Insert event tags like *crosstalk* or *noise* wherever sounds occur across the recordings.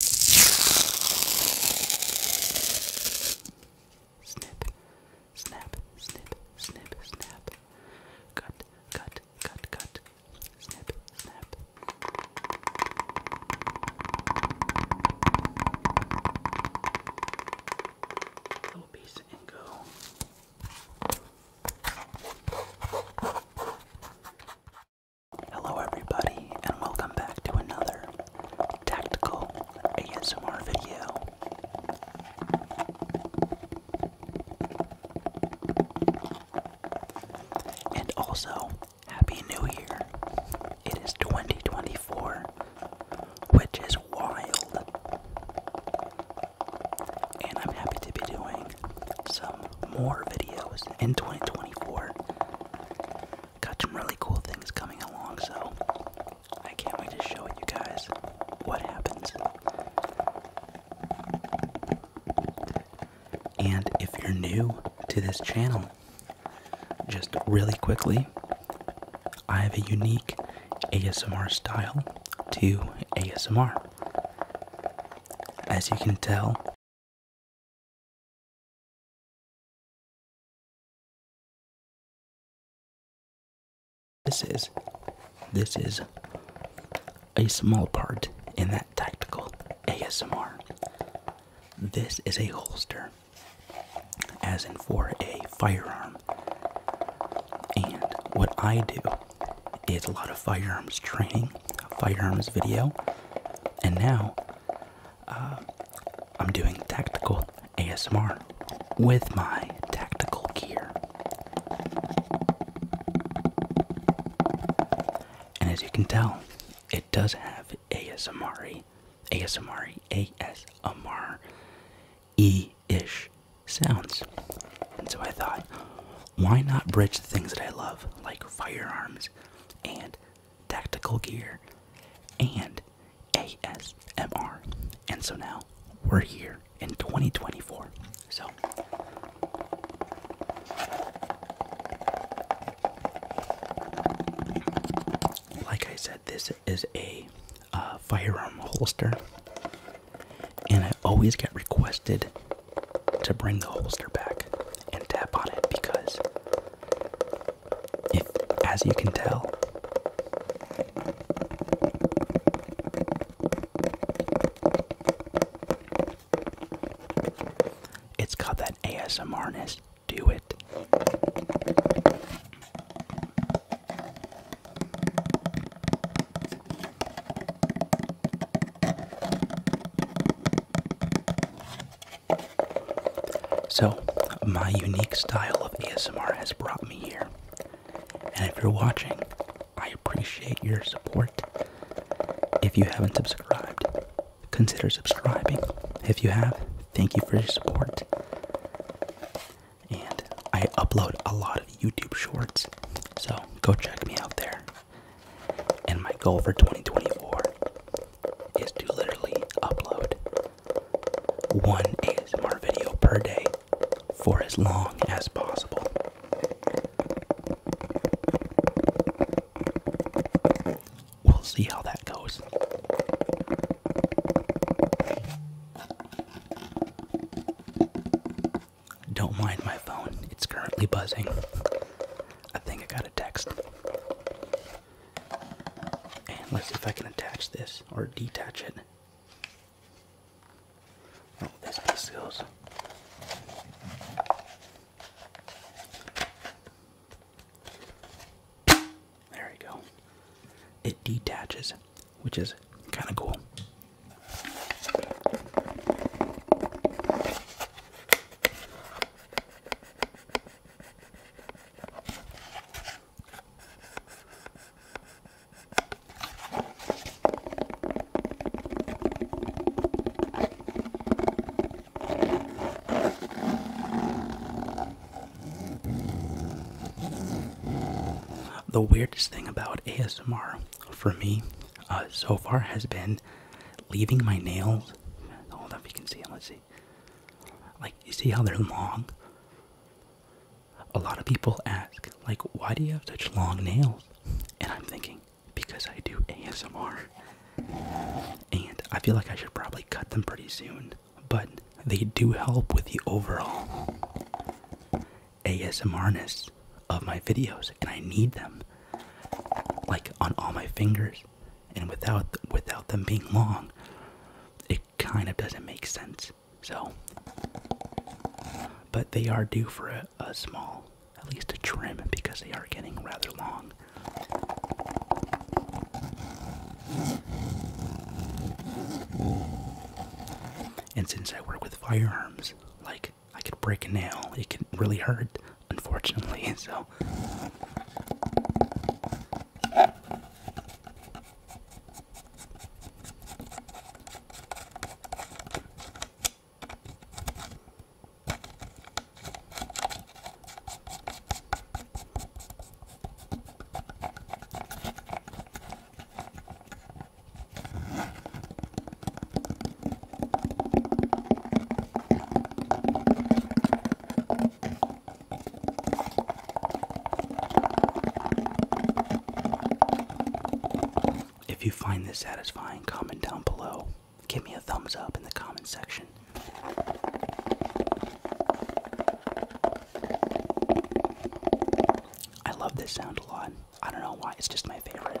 Snip, snap, snip, snip, snap. Cut, cut, cut, cut. Snip, snap. Little piece and go. Hello, everybody, and welcome back to another tactical ASMR video. And also, Happy New Year! It is 2024, which is wild. And I'm happy to be doing some more videos in 2024 got some really cool things coming along, so I can't wait to show you guys what happens. And if you're new to this channel, just really quickly, I have a unique ASMR style to ASMR. As you can tell, this is, this is a small part in that tactical ASMR. This is a holster, as in for a firearm. And what I do is a lot of firearms training, firearms video, and now uh, I'm doing tactical ASMR with my tactical gear. And as you can tell, it does have ASMR, ASMR, ASMR E ish sounds. And so I thought, why not bridge the things that I love, like firearms and tactical gear, and ASMR. And so now we're here in 2024. So like I said, this is a uh, firearm holster, and I always get requested to bring the holster back and tap on it because if as you can tell it's got that ASMRness do it so, my unique style of ASMR has brought me here. And if you're watching, I appreciate your support. If you haven't subscribed, consider subscribing. If you have, thank you for your support. And I upload a lot of YouTube shorts, so go check me out there. And my goal for 2024 is to literally upload one ASMR video per day for as long as possible. We'll see how that goes. Don't mind my phone, it's currently buzzing. I think I got a text. And let's see if I can attach this or detach it. Oh, this piece goes. There we go. It detaches, which is kind of cool. The weirdest thing about ASMR for me uh, so far has been leaving my nails. I don't know if you can see Let's see. Like, you see how they're long? A lot of people ask, like, why do you have such long nails? And I'm thinking, because I do ASMR. And I feel like I should probably cut them pretty soon, but they do help with the overall ASMRness of my videos, and I need them. Like on all my fingers, and without without them being long, it kind of doesn't make sense. So, but they are due for a, small, at least a trim, because they are getting rather long. And since I work with firearms, like I could break a nail, it can really hurt unfortunately. *laughs* So. If you find this satisfying, comment down below. Give me a thumbs up in the comment section. I love this sound a lot. I don't know why, it's just my favorite.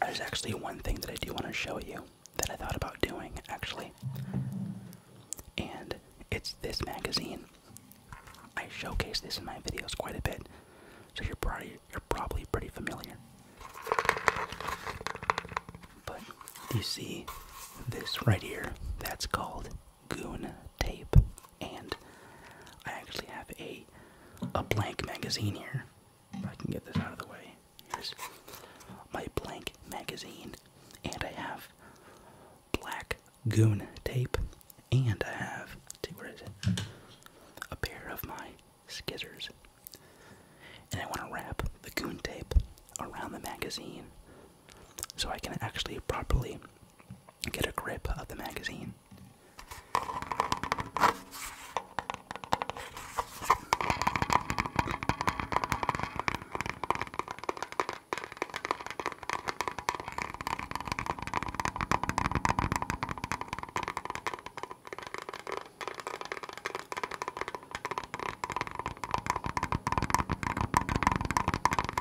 There's actually one thing that I do want to show you that I thought about doing, actually. And it's this magazine. I showcase this in my videos quite a bit, so you're probably, you're probably pretty familiar. But you see this right here, that's called goon tape, and I actually have a a blank magazine here. If I can get this out of the way, here's my blank magazine, and I have black goon tape, and I have where is it? A pair of my scissors, and I want to wrap the goon tape around the magazine so I can actually properly get a grip of the magazine.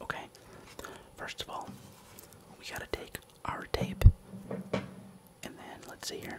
Okay, first of all, we gotta take our tape and then let's see here.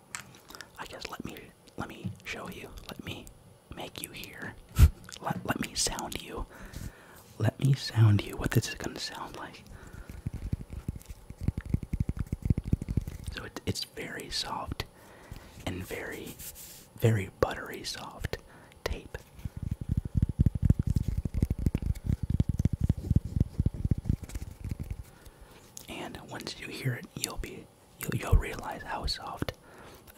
I guess let me let me show you. Let me make you hear. *laughs* let let me sound you. Let me sound you what this is gonna sound like. So it, it's very soft and very, very buttery soft tape. And once you hear it, you'll be you'll, realize how soft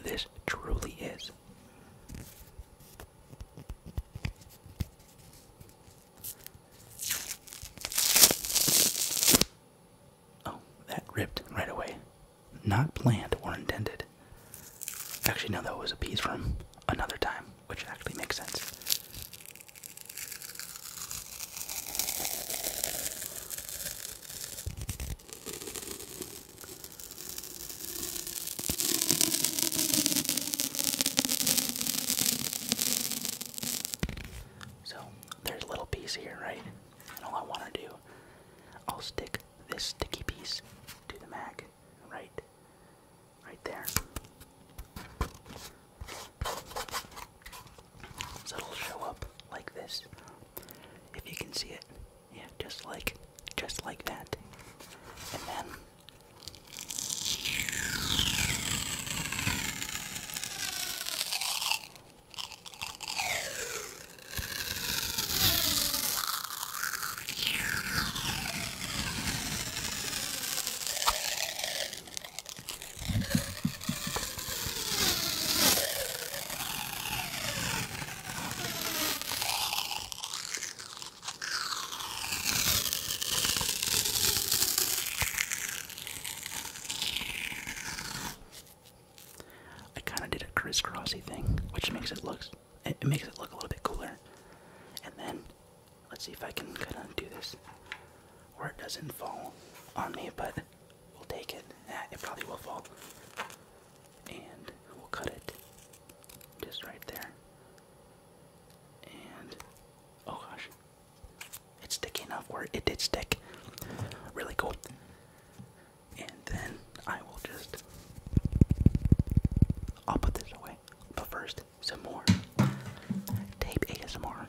this truly is. Oh, that ripped right away. Not planned or intended. Actually, no, that was a piece from another time, which actually makes sense. So there's a little piece here, right? And all I want to do, I'll stick this sticky piece to the mag, right? Right there. So it'll show up like this. If you can see it. Yeah, just like just like that. And then I kind of did a crisscrossy thing, which makes it look it makes it look a little bit cooler. And then Let's see if I can kind of do this where it doesn't fall on me, but we'll take it. it probably will fall. And we'll cut it just right there. And oh gosh, it's sticky enough where it did stick. Really cool. And then I will just. I'll put this away. But first, some more tape ASMR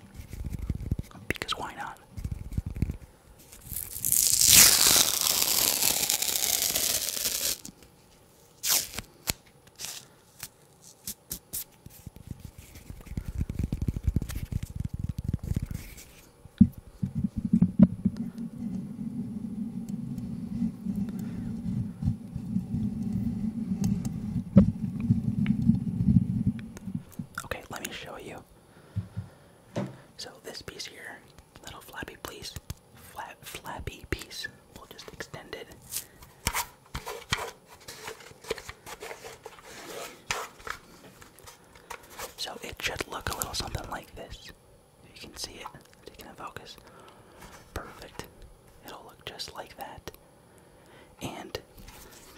because why not? Okay, let me show you. So this piece here, little flappy piece, flat flappy piece, we'll just extend it. So it should look a little something like this. You can see it, taking a focus. Perfect. It'll look just like that and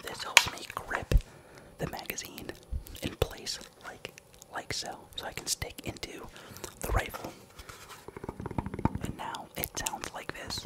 this helps me grip the magazine in place like like so so I can stick into the rifle and now it sounds like this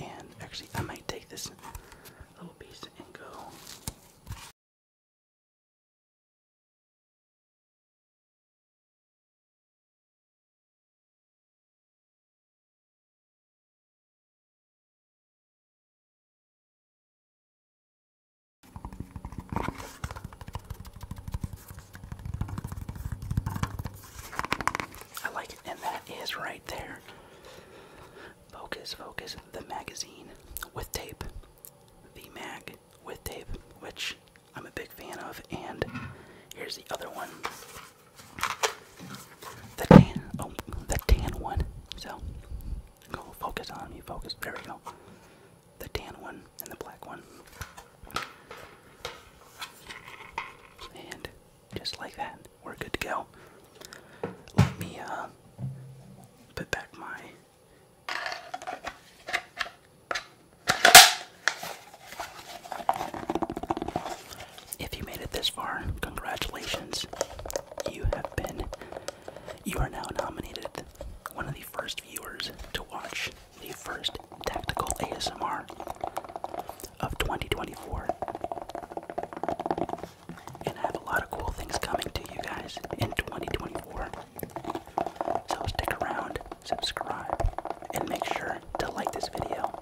And actually, I might take this little piece and go. I like it, and that is right there. Focus, focus, the magazine with tape. The mag with tape, which I'm a big fan of, and here's the other one. The tan, oh, the tan one. So, go focus on me, focus. There we go the tan one and the black one. And just like that, we're good to go. Let me uh, put back my if you made it this far, congratulations. You have been you are now nominated one of the first viewers to watch the first tactical ASMR of 2024. And I have a lot of cool things coming to you guys in 2024. So stick around, subscribe, and make sure to like this video.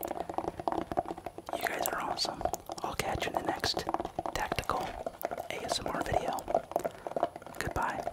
You guys are awesome. I'll catch you in the next tactical ASMR video. Goodbye.